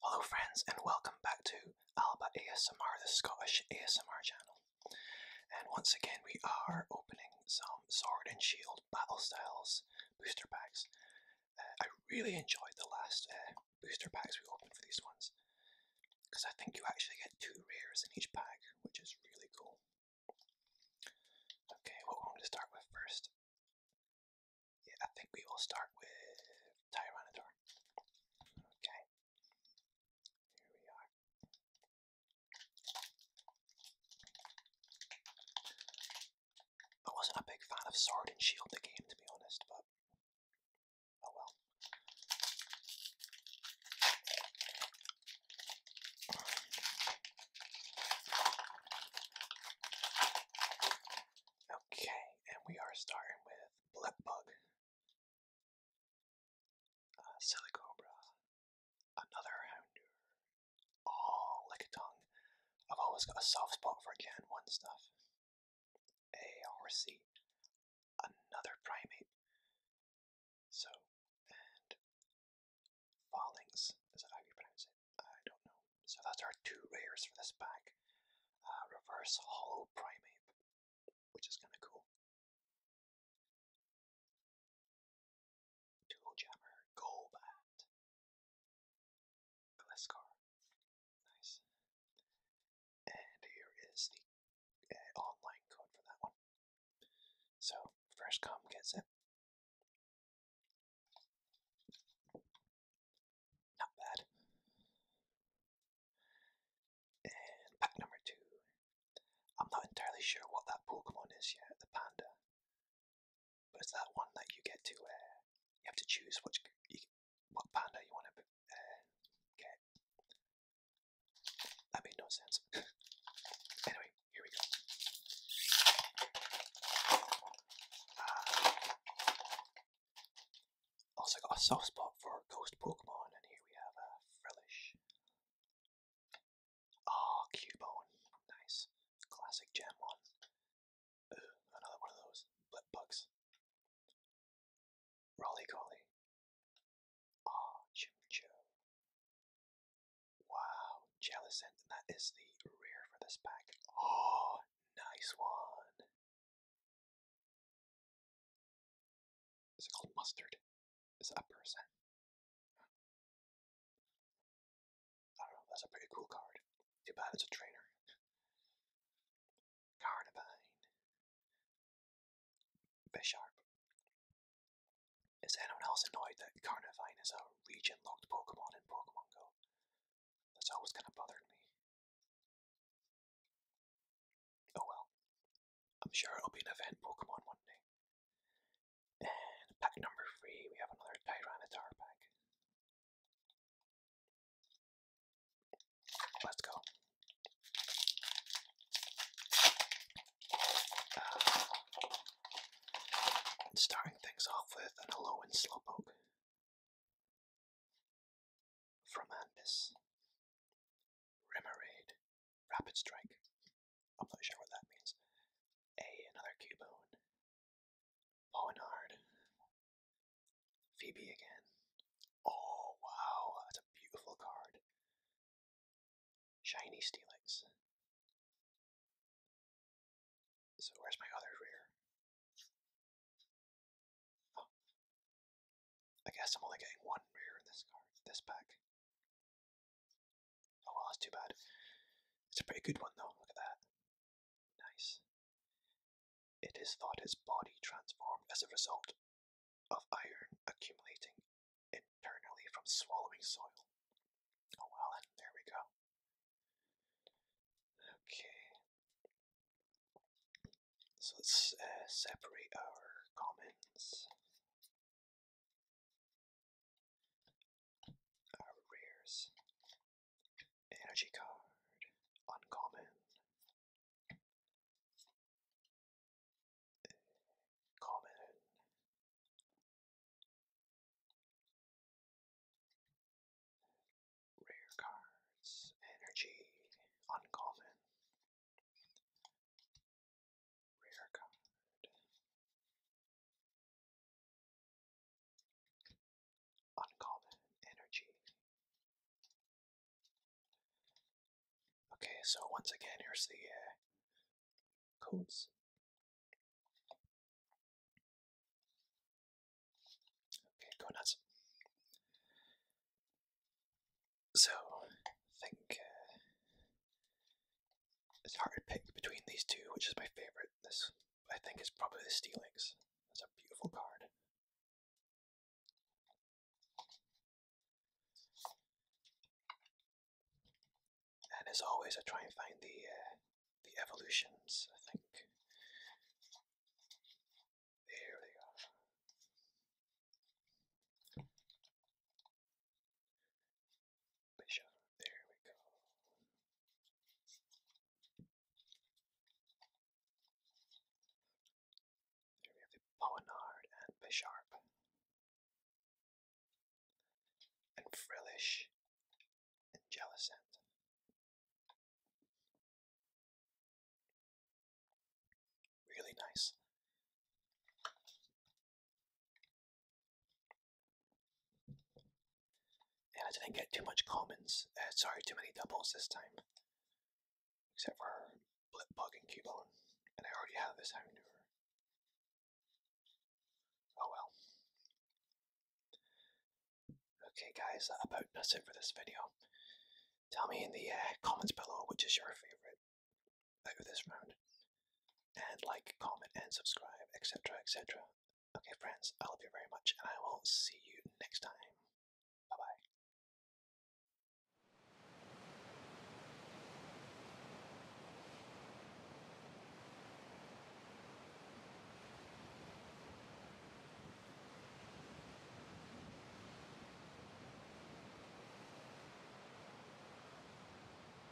Hello friends and welcome back to Alba ASMR, the Scottish ASMR channel. And once again we are opening some Sword and Shield Battle Styles booster packs. Uh, I really enjoyed the last uh, booster packs we opened for these ones. Because I think you actually get two rares in each pack, which is really cool. Okay, what one to start with first? Yeah, I think we will start with Tyrannodor. Okay. Here we are. I wasn't a big fan of Sword and Shield the game to be honest, but Oh, okay, and we are starting with Blip Bug, uh, Silicobra, another Houndour, oh, like a tongue. I've always got a soft spot for Gen 1 stuff. A or C, another primate. So, and Fallings, is that how you pronounce it? I don't know. So that's our two rares for this pack. Uh, reverse Hollow Primate, which is kind of cool. Tool Jammer, Golbat, Velascar. Nice. And here is the uh, online code for that one. So, first come gets it. Not bad. And pack number two. I'm not entirely sure what that Pokemon is yet, the panda. But it's that one that you get to, uh, you have to choose which, what panda you want to uh, get. That made no sense. anyway, here we go. Ah. also got a soft spot for ghost Pokemon, and here we have a Frillish. Ah, Cubone, nice, classic gem one another one of those blip bugs. Rolly Collie. Ah, Jim Joe. Wow, Jellicent, that is the rear for this pack. Oh, nice one. Is it called mustard? Is it a I don't know, that's a pretty cool card. Too bad it's a trainer. Carnivine. Bisharp. Is anyone else annoyed that Carnivine is a region locked Pokemon in Pokemon Go? That's always kind of bothered me. Oh well. I'm sure it'll be an event Pokemon one day. And pack number three, we have another Tyranitar pack. Let's go. Uh, starting things off with an Alolan Slowpoke from Anvis. Remoraid, Rapid Strike. I'm not sure what that means. A another Cubone, Moenard. Phoebe again. Oh, wow, that's a beautiful card. Shiny Steelix. So, where's my other rare? Oh. I guess I'm only getting one rare in this card, this pack. Oh well, that's too bad. It's a pretty good one though, look at that. Nice. It is thought his body transformed as a result of iron accumulating internally from swallowing soil. Oh well, and there we go. Okay. So let's uh, separate our comments. Our Energy card. Uncommon. Common. Rare cards. Energy. Uncommon. Rare card. Uncommon energy. Okay, so once again, here's the uh, codes. Okay, go nuts. So, I think uh, it's hard to pick between these two, which is my favorite. This, I think, is probably the Steelix. That's a beautiful card. And as always, I try and find the uh, the evolutions. I think there they are. Bishop, there we go. we have the Poenard and Bisharp. And Frillish and Jellicent. Really nice. And I didn't get too much commons, uh, sorry, too many doubles this time. Except for Blip and Cubone, and I already have this Houndour. Oh well. Okay guys, that about does it for this video. Tell me in the uh, comments below which is your favourite over this round. And like, comment, and subscribe, etc. etc. Okay, friends, I love you very much, and I will see you next time. Bye bye.